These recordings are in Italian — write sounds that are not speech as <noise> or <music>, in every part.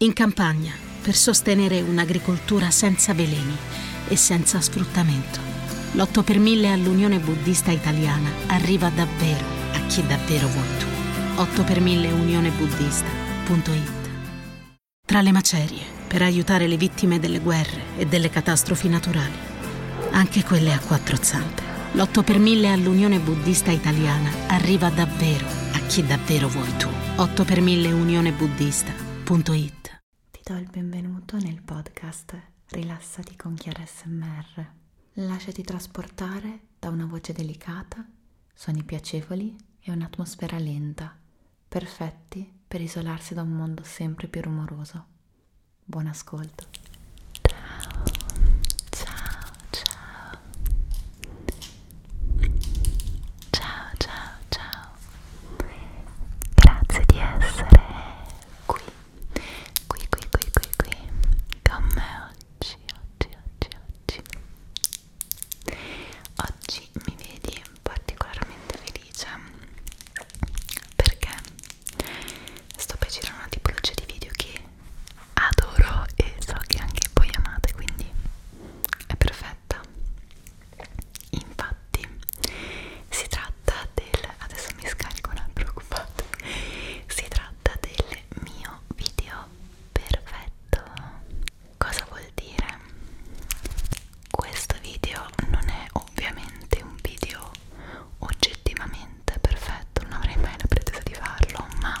In campagna, per sostenere un'agricoltura senza veleni e senza sfruttamento, l'8 per 1000 all'Unione Buddista Italiana arriva davvero a chi davvero vuoi tu. 8 per 1000 unionebuddista.it Tra le macerie, per aiutare le vittime delle guerre e delle catastrofi naturali, anche quelle a quattro zampe. L'8 per 1000 all'Unione Buddista Italiana arriva davvero a chi davvero vuoi tu. 8 per 1000 unionebuddista.it Ti do il benvenuto nel podcast Rilassati con Chiara SMR. Lasciati trasportare da una voce delicata, suoni piacevoli e un'atmosfera lenta, perfetti per isolarsi da un mondo sempre più rumoroso. Buon ascolto. Ciao, ciao, ciao. Ciao, ciao, ciao. Grazie di essere qui, qui, qui, qui, qui, qui, con me oggi, oggi, oggi, oggi. Oggi mi vedi particolarmente felice perché sto per girare una tipologia di video che adoro e so che anche voi amate, quindi è perfetto diretta infatti si tratta del adesso mi scarico non preoccupate si tratta del mio video perfetto cosa vuol dire questo video non è ovviamente un video oggettivamente perfetto non avrei mai la pretesa di farlo ma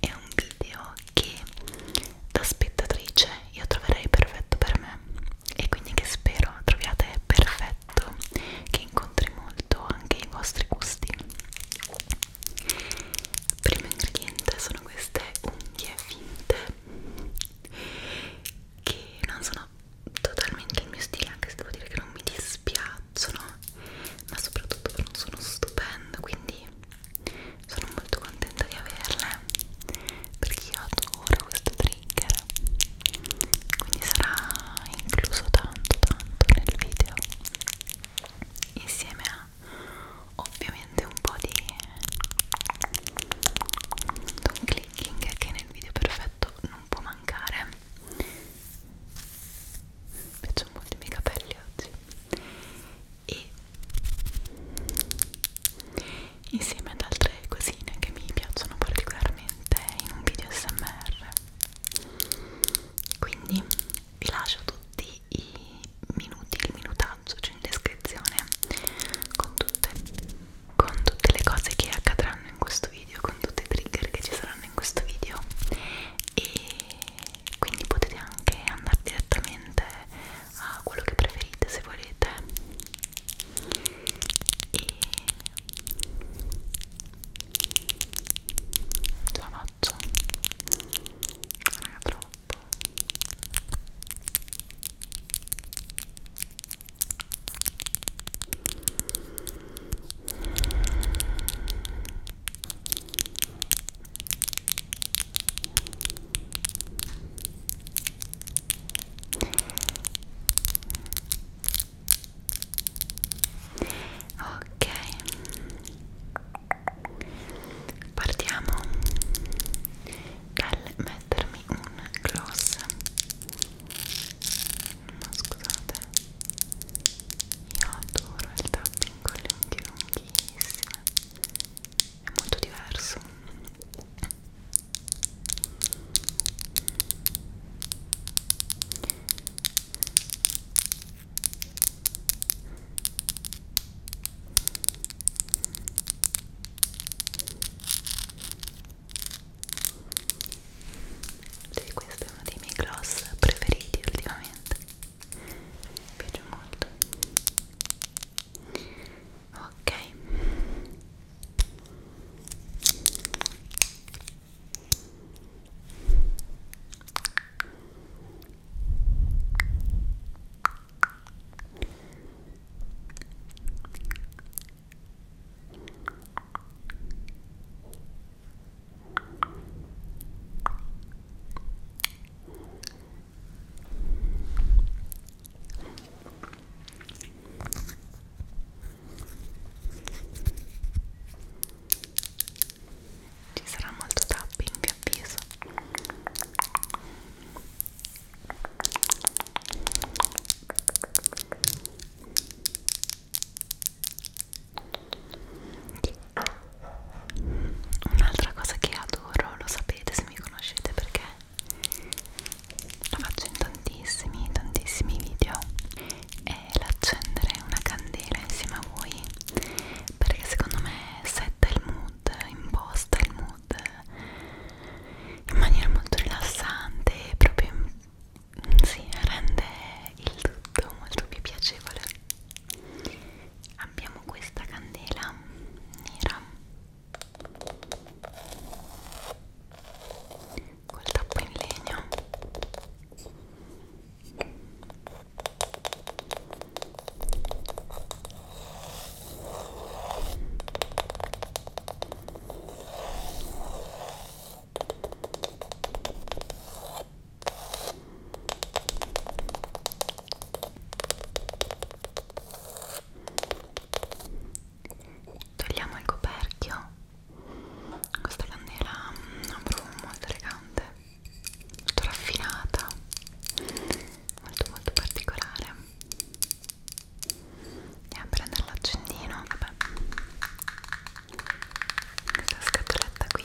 è un video che da spettatrice io troverei perfetto per me e quindi che spero troviate perfetto che incontri molto anche i vostri gusti il primo ingrediente sono queste unghie finte che non sono totalmente il mio stile anche se devo dire che non mi dispiacciono ma soprattutto non sono stupendo quindi sono molto contenta di averle perché io adoro questo trigger quindi sarà incluso tanto tanto nel video insieme a ovviamente un po' di un clicking che nel video perfetto non può mancare mi piacciono molto i miei capelli oggi e insieme ad altre cosine che mi piacciono particolarmente in un video smr quindi vi lascio tutti i minuti, il minutaggio cioè in descrizione con tutte, con tutte le cose che accadranno in questo video con tutti i trigger che ci saranno in questo video e quindi potete anche andare direttamente a ah, quello che preferite se volete e ce la faccio non è troppo ok Ok, partiamo dal mettermi un gloss. Ma scusate, io adoro il tapping con le unghie lunghissime è molto diverso sì, questo è uno dei miei gloss preferiti ultimamente mi piace molto ok ci sarà molto tapping, vi avviso un'altra cosa che adoro lo sapete se mi conoscete perché la faccio in tantissimi tantissimi video è l'accendere una candela insieme a voi perché secondo me setta il mood imposta il mood in maniera molto rilassante proprio si sì, rende il tutto molto più piacevole abbiamo questa candela nera col tappo in legno Togliamo il coperchio. Questa candela mm, ha un profumo molto elegante, molto raffinata, molto molto particolare. Andiamo a prendere l'accendino. Vabbè. Questa scatoletta qui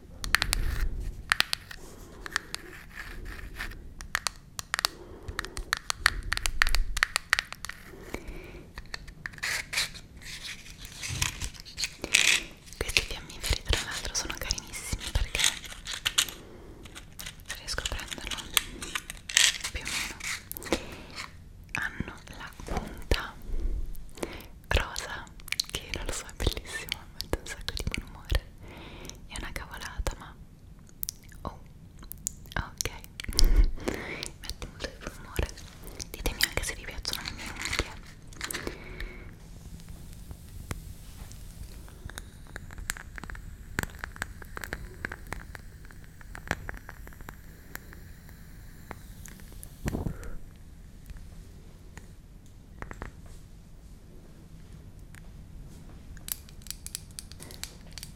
Questi fiammiferi tra l'altro sono carinissimi perché riesco a prenderlo più o meno hanno la punta rosa che non lo so è bellissima mi mette un sacco di buon umore è una cavolata ma oh ok <laughs> mette molto di buon umore ditemi anche se vi piacciono le mie unghie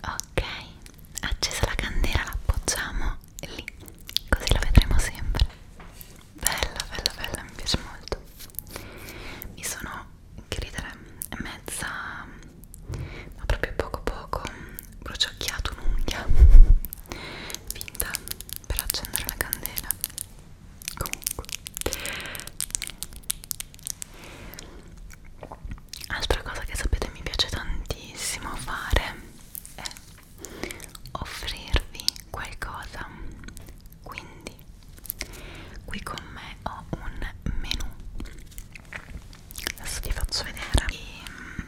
Ok, accesa la candela, la appoggiamo lì, così la vedremo sempre. Bella, bella, bella, mi piace molto. Mi sono, che ridere, mezza, ma proprio poco poco, bruciacchiato un'unghia <laughs> finta per accendere la candela comunque altra cosa che sapete mi piace tantissimo fare è offrirvi qualcosa quindi qui con me ho un menù adesso vi faccio vedere e mm,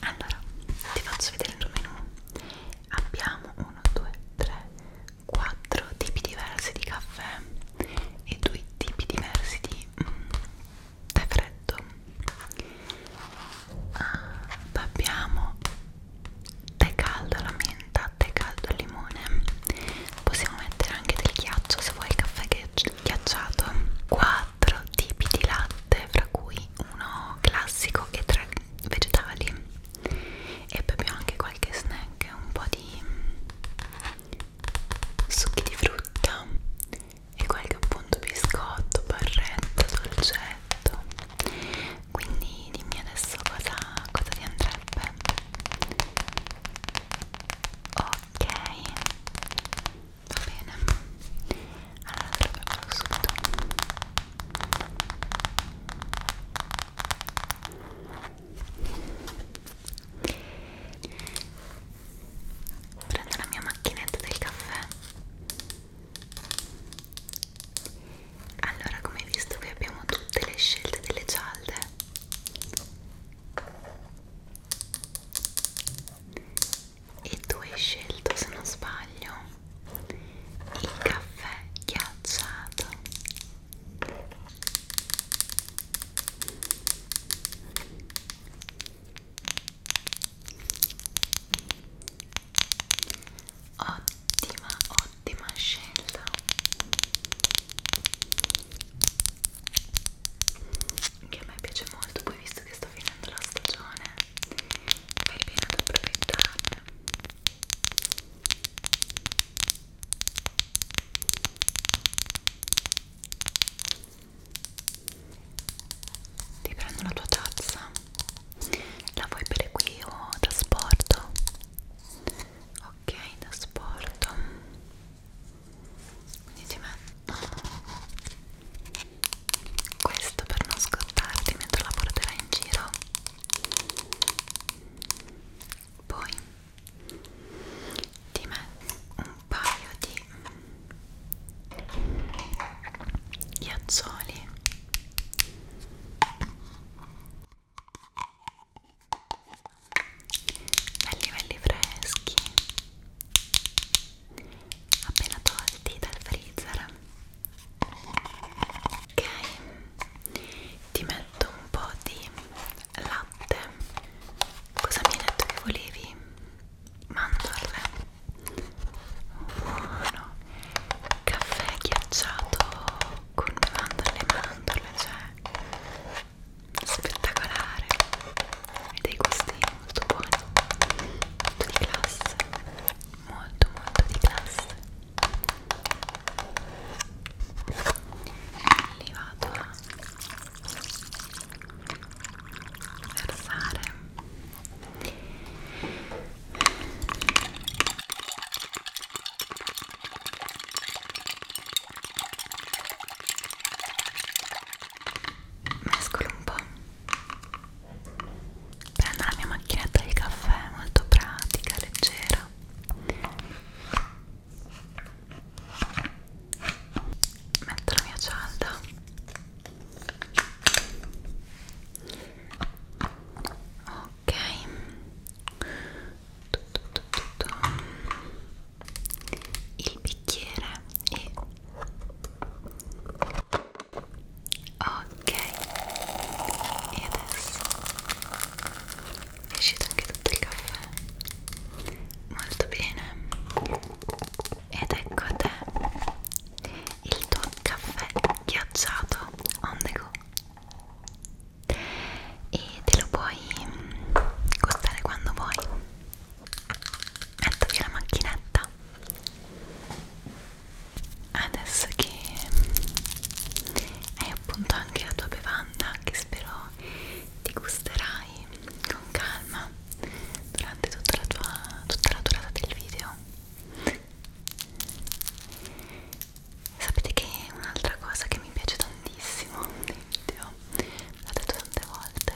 Allora, ti faccio vedere il menu. Abbiamo 1, 2, 3, 4 tipi diversi di caffè e due tipi diversi di mm, tè freddo. Ah, abbiamo tè caldo alla menta, tè caldo al limone possiamo mettere anche del ghiaccio se vuoi il caffè ghiacciato quattro tipi di latte fra cui uno classico e tre vegetali e beviamo anche qualche snack un po' di succhi di frutta e qualche appunto biscotto, barretta, dolcetto quindi dimmi adesso cosa, cosa ti andrebbe ok va bene allora te lo preparo subito prendo la mia macchinetta del caffè allora, come hai visto qui abbiamo tutte le scelte delle cialde. E tu hai scelto, se non sbaglio, il caffè ghiacciato ottima ottima scelta che a me piace molto poi visto che sto finendo la stagione fai bene ad approfittarne ti prendo la tua tazza la vuoi bere qui o da sporto? ok da sporto quindi ti metto questo per non scottarti mentre la porterai in giro poi ti metto un paio di ghiaccioli belli belli freschi appena tolti dal freezer ok ti metto un po' di latte cosa mi hai detto che volevi? mandorle buono caffè ghiacciato con le mandorle e mandorle, cioè spettacolare e dei gusti molto buoni, molto di classe, molto molto di classe li vado a versare mescolo un po' prendo la mia macchinetta di caffè molto pratica, leggera metto la mia cialda ok il bicchiere e ok e adesso è uscito anche tutto il caffè molto bene ed ecco a te il tuo caffè ghiacciato on the go e te lo puoi costare mm, quando vuoi metto via la macchinetta adesso che mm, hai appunto anche la tua bevanda che spero ti gusterai con calma durante tutta la, tua, tutta la durata del video Sapete che un'altra cosa che mi piace tantissimo nei video, l'ho detto tante volte,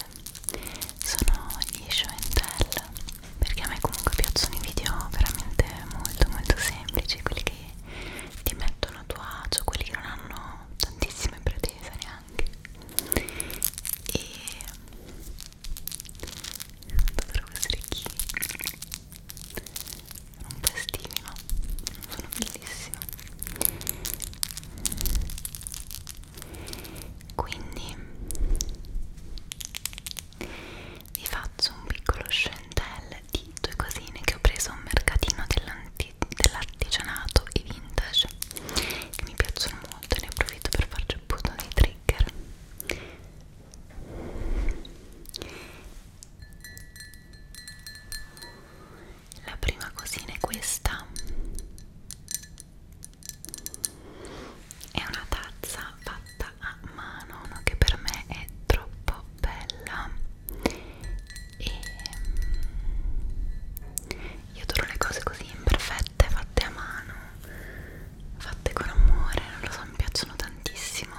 sono gli show and tell, perché a me comunque piacciono i video veramente molto molto semplici, quelli che ti mettono a tuo agio, quelli che non hanno tantissime pretese neanche. E... Non dovrò essere chi non festivi no? sono bellissime quindi vi faccio un piccolo scentel di due cosine che ho preso a un mercatino dell'artigianato dell e vintage che mi piacciono molto e ne approfitto per farci un punto di trigger la prima cosina è questa. È una tazza fatta a mano che per me è troppo bella e mm, io adoro le cose così imperfette fatte a mano fatte con amore non lo so mi piacciono tantissimo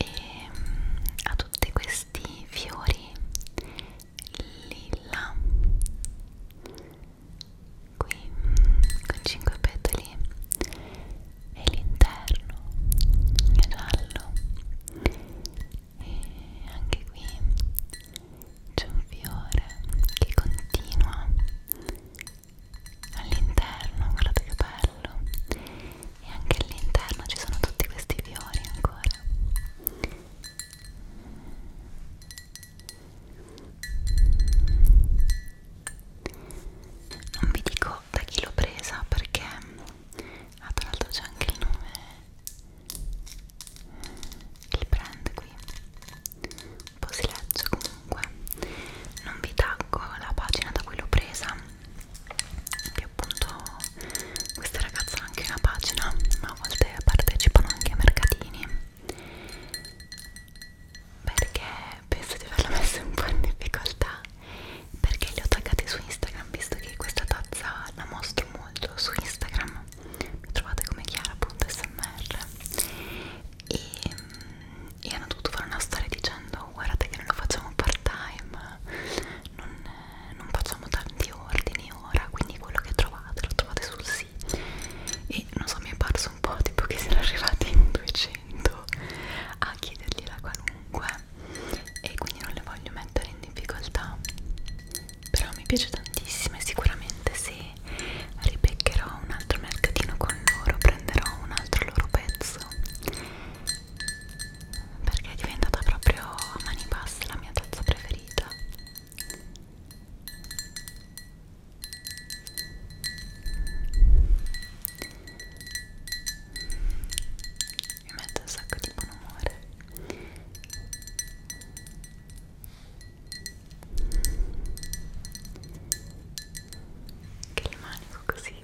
e ha mm, tutti questi fiori lilla qui mm, con 5 petali e l'interno è giallo e anche qui c'è un fiore che continua all'interno, guardate che bello e anche all'interno ci sono tutti questi fiori ancora non vi dico da chi l'ho presa perché ah, tra l'altro c'è anche il nome il brand qui un po' si legge comunque non vi taggo la pagina da cui l'ho presa che appunto queste ragazze hanno anche una pagina ma a volte partecipano anche a mercatini perché penso di averla messa un po' in difficoltà perché li ho taggati su Instagram visto che questa tazza la mostro molto su Instagram mi trovate come chiara.smr e e hanno dovuto fare una storia dicendo guardate che non lo facciamo part time non, non facciamo tanti ordini ora quindi quello che trovate lo trovate sul sito e non so mi è parso un po' tipo che siano arrivati in 200 a chiedergliela qualunque e quindi non le voglio mettere in difficoltà però mi piace tantissimo e sicuramente se ripeccherò un altro mercatino con loro prenderò un altro loro pezzo perché è diventata proprio a mani basse la mia tazza preferita mi metto un sacco di buon umore che rimanico così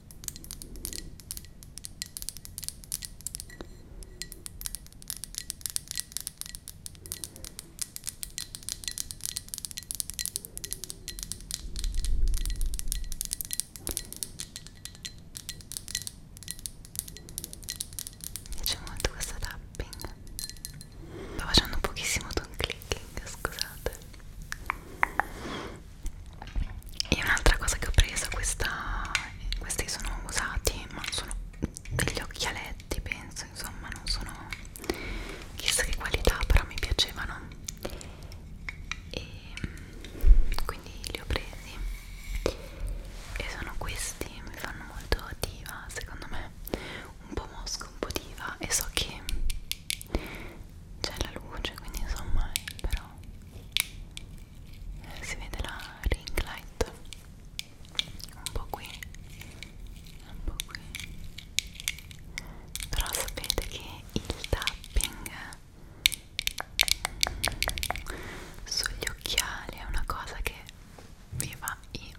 Mi piace molto questo tapping. Sto facendo pochissimo tone clicking, scusate e un'altra cosa che ho preso questa, questi sono usati ma sono degli occhialetti penso insomma non sono chissà che qualità però mi piacevano e mm, quindi li ho presi e sono questi mi fanno molto diva secondo me un po' mosca un po' diva e so che c'è la luce quindi insomma però si vede la ring light un po' qui un po' qui però sapete che il tapping sugli occhiali è una cosa che vi fa impazzire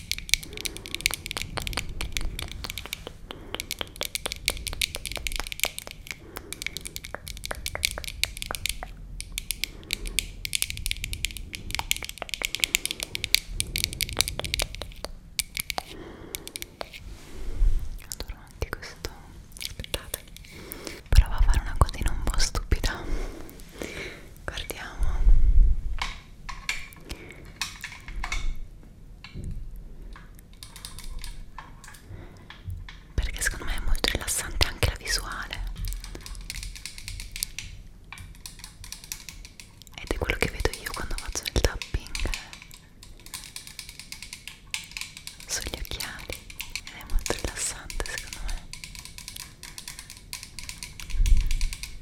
Adoro anche questo. Aspettate, provo a fare una cosina un po' stupida. Guardiamo perché secondo me è molto rilassante anche la visuale ed è quello che vedo io quando faccio il tapping sugli occhiali ed è molto rilassante secondo me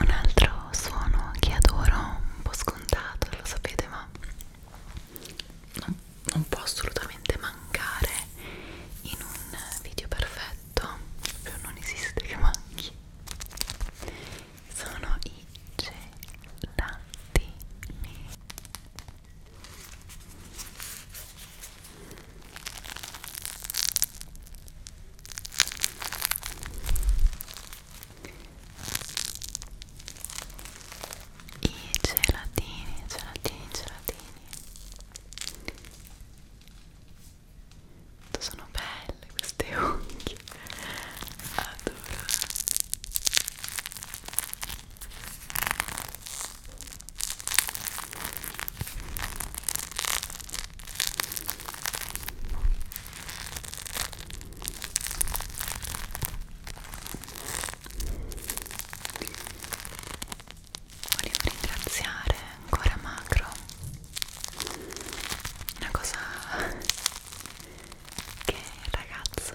un altro suono che adoro, un po' scontato, lo sapete, ma non, non può assolutamente mancare in un video perfetto, proprio non esiste che manchi. Sono i gelatini i gelatini, gelatini, gelatini Quanto sono belle queste <laughs> unghie adoro Volevo ringraziare ancora Macro, una cosa che il ragazzo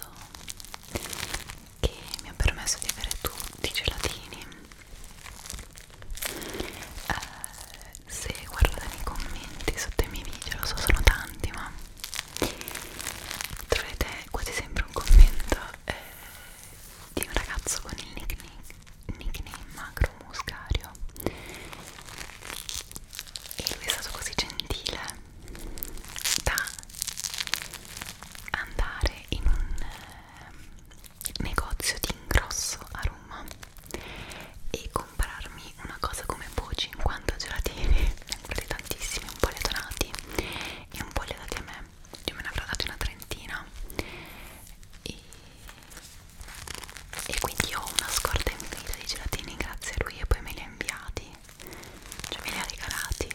che mi ha permesso di avere tutti i gelatini. Uh, se guardate i commenti sotto i miei video, lo so sono tanti ma troverete quasi sempre un commento eh, di un ragazzo con il nickname, nickname Macro Muscario e lui è stato così gentile da andare in un eh, negozio di ingrosso a Roma e comprarmi una cosa come boh 50 gelatini, ne <laughs> comprate tantissimi, un po' le donati e un po' le date a me, io me ne avrò date una trentina e, e quindi ho una scorta infinita di gelatini grazie a lui e poi me li ha inviati, cioè me li ha regalati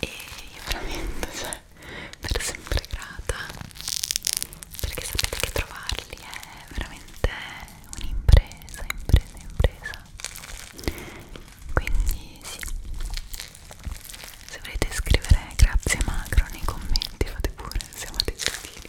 e io veramente cioè per sempre grata perché sapete che trovarli è veramente un'impresa, impresa, impresa. Quindi sì. Se volete scrivere grazie macro nei commenti, fate pure, siamo dei gentili.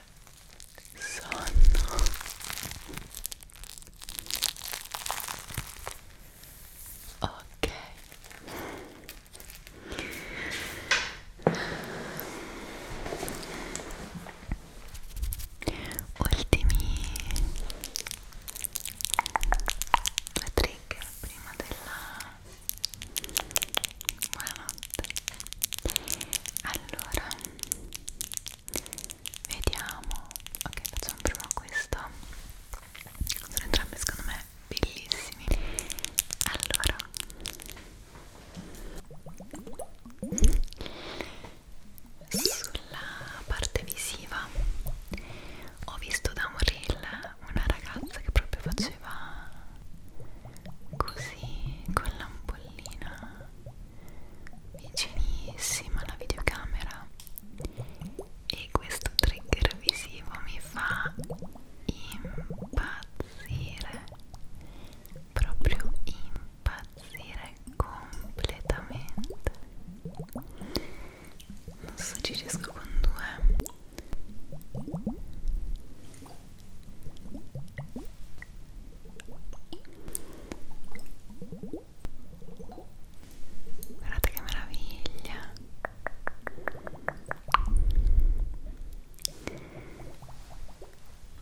sonno ok ultimi due trigger prima della buonanotte allora Vediamo. Ok, facciamo prima questo. Sono entrambi secondo me bellissimi. Allora. Sulla parte visiva ho visto da un reel una ragazza che proprio faceva così con l'ampollina vicinissima la videocamera e questo trigger visivo mi fa impazzire proprio impazzire completamente non so ci riesco con due Guardate che meraviglia.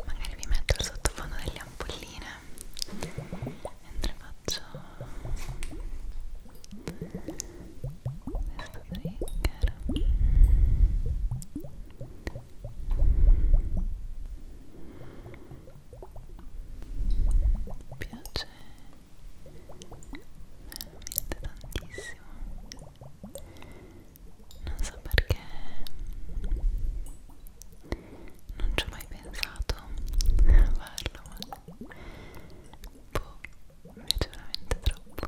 Magari vi metto il sottofondo delle ampolline mentre faccio questo trigger mi piace veramente tantissimo non so perché non ci ho mai pensato a farlo ma boh, mi piace veramente troppo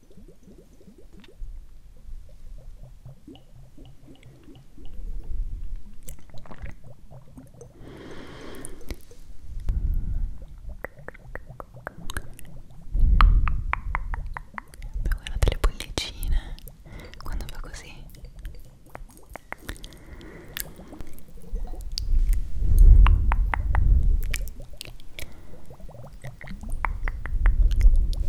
guardate le bollicine quando fa così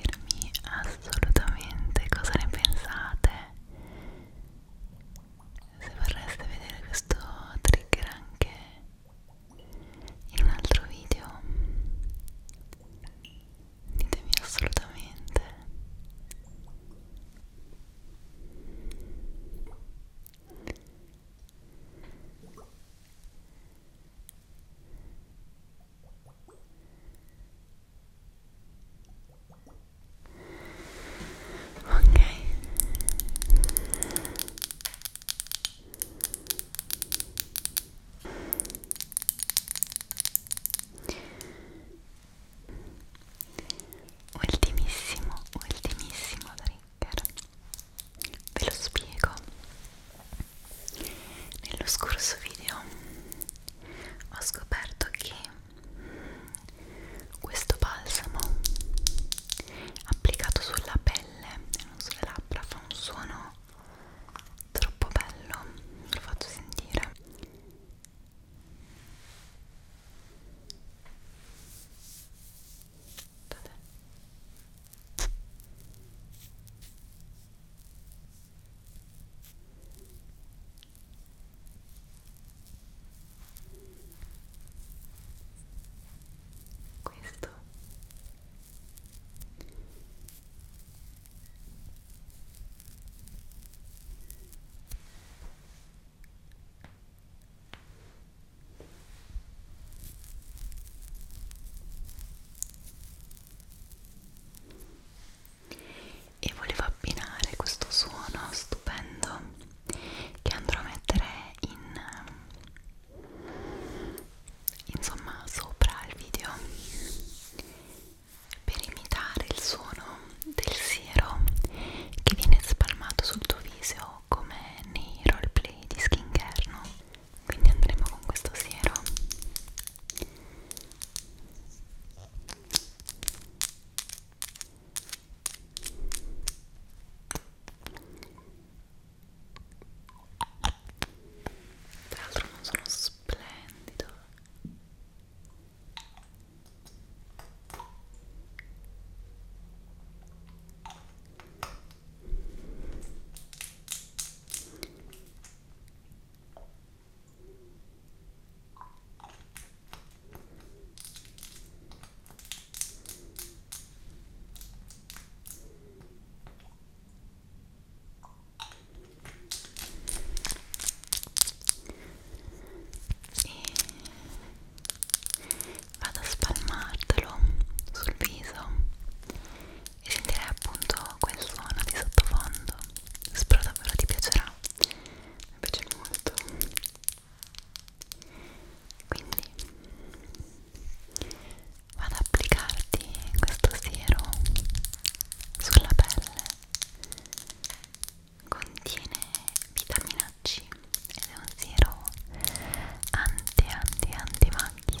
dirmi assolutamente cosa ne pensate se vorreste vedere questo trigger anche in un altro video ditemi assolutamente Ok. Ultimissimo, ultimissimo trigger. Ve lo spiego. Nello scorso video ho scoperto che questo balsamo applicato sulla pelle e non sulle labbra fa un suono troppo bello ve lo faccio sentire Aspettate questo e volevo abbinare questo suono stupendo che andrò a mettere in insomma sopra il video per imitare il suono del siero che viene spalmato sul tuo viso come nei roleplay di skincare no? quindi andremo con questo siero tra l'altro non sono splendido e vado a spalmartelo sul viso e sentirei appunto quel suono di sottofondo spero davvero ti piacerà mi piace molto quindi vado ad applicarti questo siero sulla pelle contiene vitamina C ed è un siero anti anti anti macchie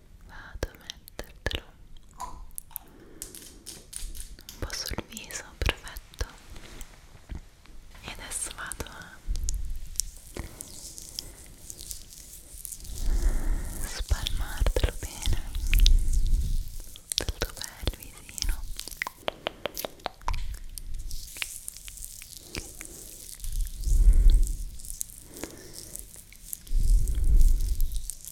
vado a mettertelo un po' sul viso, perfetto e adesso vado a spalmartelo bene sul tuo bel visino ok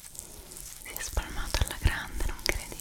si è spalmato alla grande, non credi?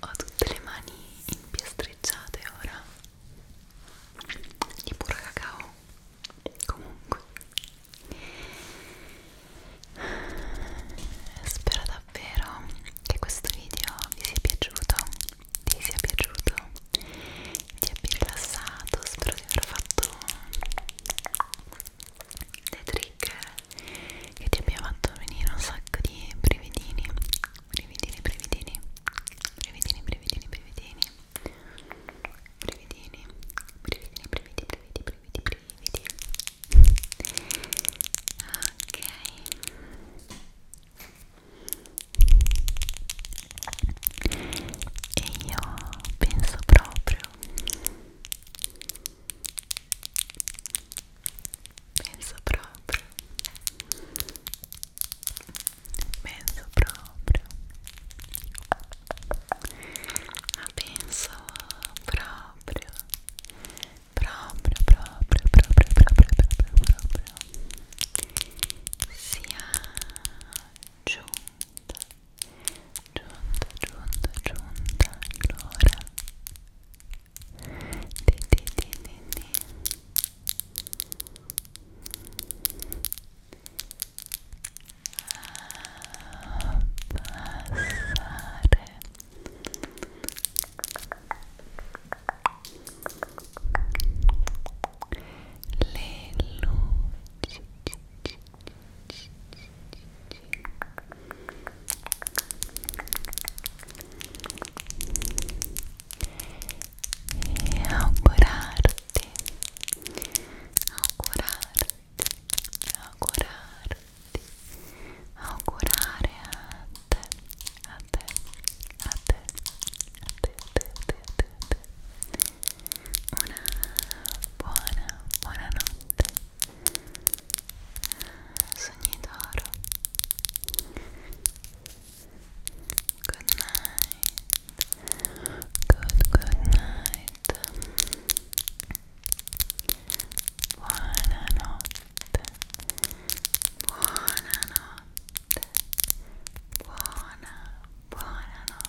Ho tutte le mani impiastreggiate ora di puro cacao. Comunque, spero davvero che questo video vi sia piaciuto, ti sia piaciuto, ti abbia rilassato. Spero di aver fatto dei trigger che ti abbia fatto venire un sacco di brividini brividini brividini brividini brividini brividini brividini brividini brividi brividi brividi brividi ok e io penso proprio penso proprio penso proprio ma penso proprio proprio proprio proprio proprio proprio proprio sia giunta giunta, giunta, giunta l'ora di, di, di, di, di abbassare le luci e augurarti augurarti augurarti augurare a te a te a te a te a te a te, a te, a te. una buona buona notte Good night. Good, good night. Buonanotte. Buonanotte. Buona, buonanotte.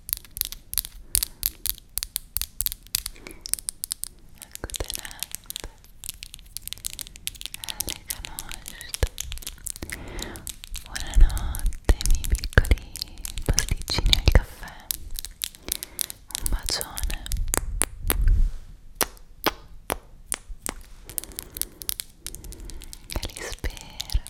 accotenate alle canosce buonanotte miei piccoli pasticcini al caffè un bacione e li spero